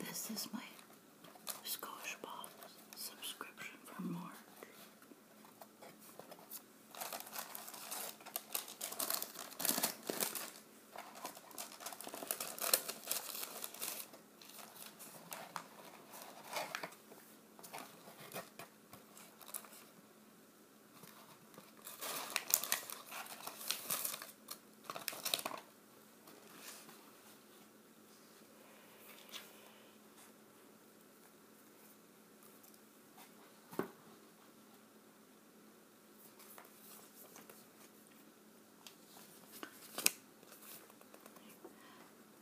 This is my Scottish Box subscription for March.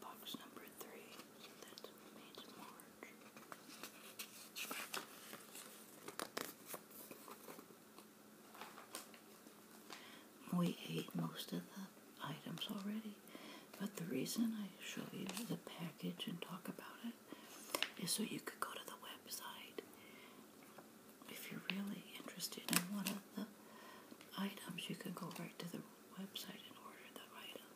Box number three, so that's made March. We ate most of the items already, but the reason I show you the package and talk about it is so you could go to the website if you're really interested in one of the items. You can go right to the website and order the item.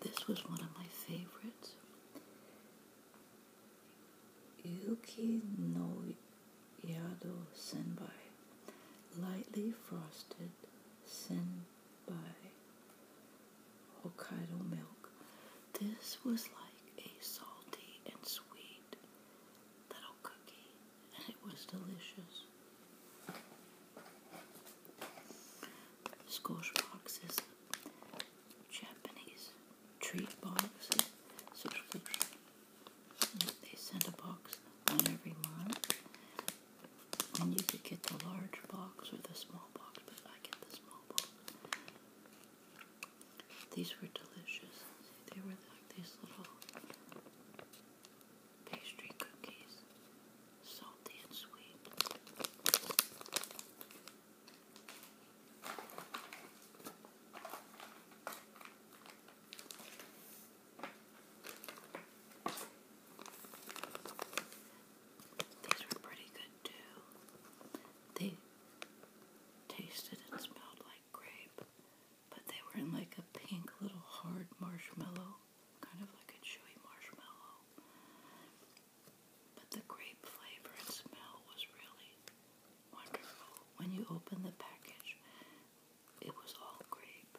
This was one of my favorites. Yuki no Yado senbei, lightly frosted senbei, Hokkaido milk. This was like a salty and sweet little cookie, and it was delicious. Squash boxes. Japanese treat box They send a box on every month, and you could get the large box or the small box, but I get the small box. These were delicious. They were like these little pastry cookies salty and sweet. These were pretty good too. They tasted and smelled like grape, but they were in like a pink little hard marshmallow, kind of like a chewy marshmallow. But the grape flavor and smell was really wonderful. When you opened the package, it was all grape.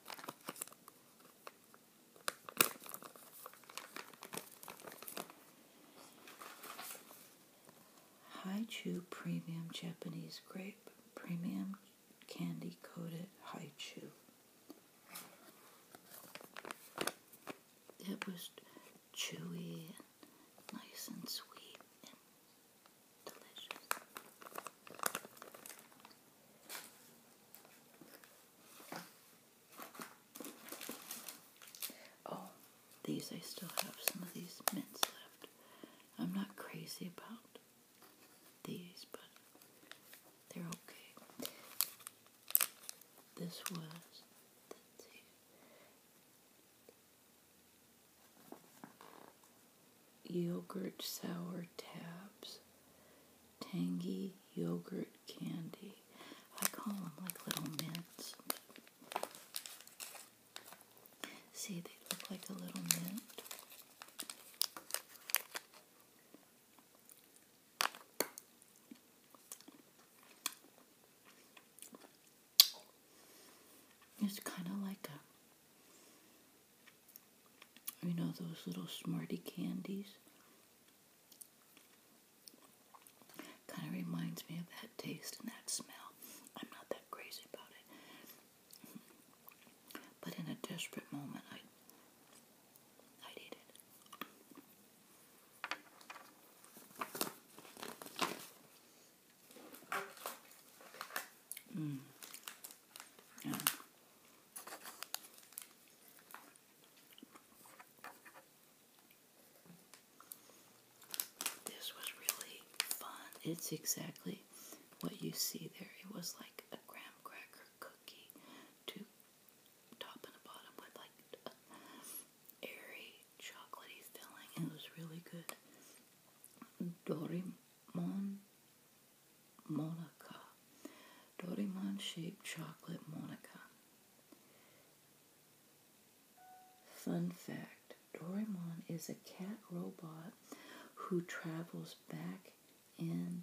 Haichu Premium Japanese Grape Premium Candy Coated Hi Haichu. It was chewy and nice and sweet and delicious. Oh, these, I still have some of these mints left. I'm not crazy about these, but they're okay. This was the two. Yogurt sour tabs, tangy yogurt candy. I call them like little mints. See, they look like a little mint. It's kind of like a, you know, those little smartie candies. Kind of reminds me of that taste and that smell. I'm not that crazy about it. But in a desperate moment, I, I'd it. Mm. Yeah. This was really fun. It's exactly what you see there. It was like a graham cracker cookie top and the bottom with like airy chocolatey filling it was really good. Dorimon Monica. Dorimon shaped chocolate Monica. Fun fact Dorimon is a cat robot who travels back in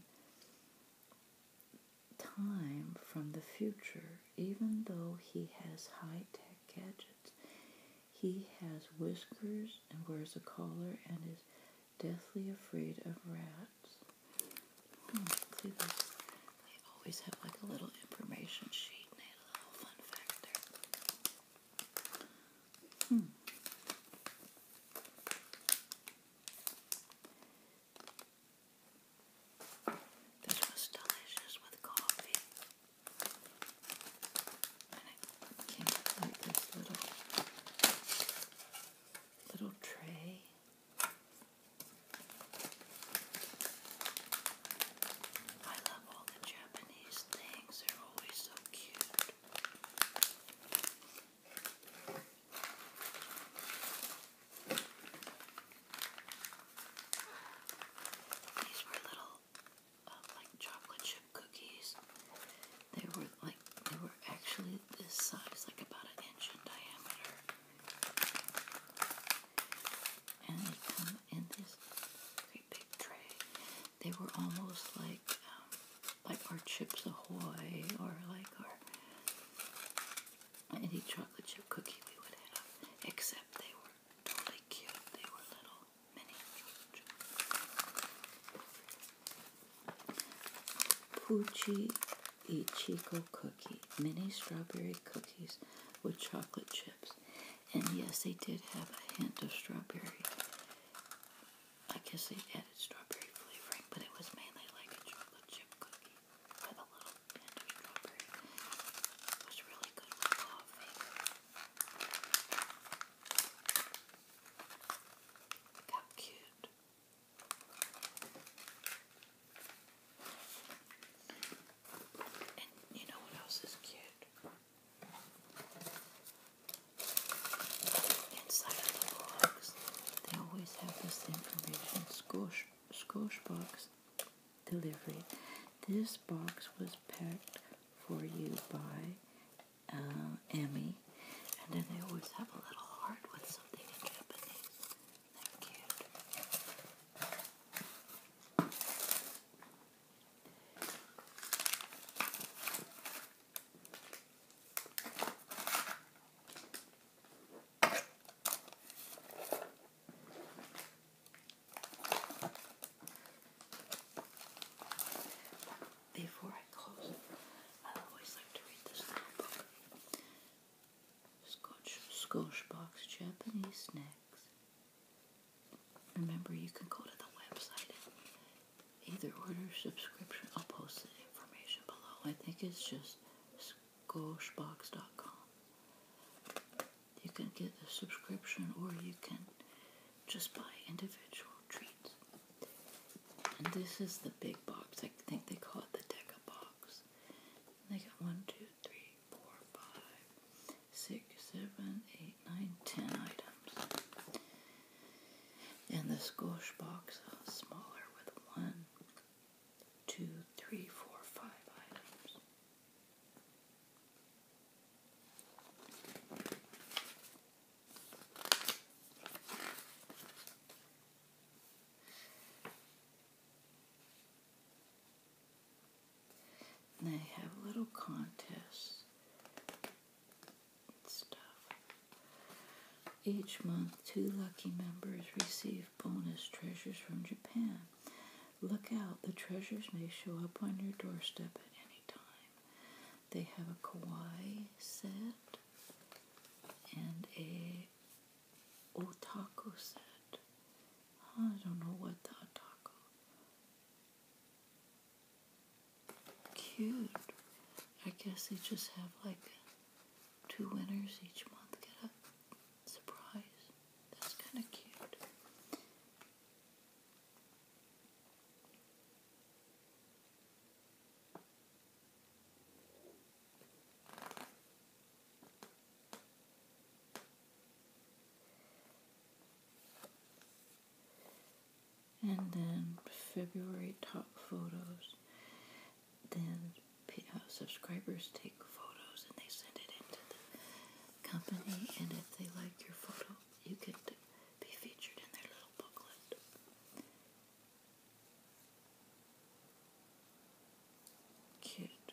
time from the future, even though he has high tech gadgets. He has whiskers and wears a collar and is deathly afraid of rats. Hmm, they always have like a little information sheet and a little fun fact hmm. This was delicious with coffee. And it came with this little little tray. I love all the Japanese things. They're always so cute. These were little, uh, like chocolate chip cookies. They were like they were actually this size, like about an inch in diameter, and they come in this great big tray. They were almost like. Um, like our Chips Ahoy or like our any chocolate chip cookie we would have, except they were totally cute. They were little mini Pucci Ichigo cookie, mini strawberry cookies with chocolate chips. And yes, they did have a hint of strawberry I guess they added strawberry flavoring, but it was mainly like a chocolate chip cookie with a little hint of strawberry. It really good coffee. Look how cute. And you know what else is cute? Inside of the box, they always have this information Scosh, Scosh box delivery. This box was packed for you by uh, Emmy, and then they always have a little heart with something in Japanese. They're before I close, I always like to read this little book. Scotch box, Japanese snacks. Remember, you can go to the website either order subscription. I'll post the information below. I think it's just skoshbox.com. You can get the subscription or you can just buy individual treats. And this is the big box. I think they call it the Deca box. they got one, two, three, four, five, six, seven, eight nine, ten items. And this gauche box smaller with one, two, three, four, five items. they have little contests stuff. Each month, two lucky members receive bonus treasures from Japan. Look out, the treasures may show up on your doorstep at any time. They have a kawaii set and a otaku set. I don't know what the otaku Cute. I guess they just have like two winners each month get a surprise. That's kind of cute and then February top photos. Then uh, subscribers take photos and they send it into the company, and if they like your photo, you can be featured in their little booklet. Cute.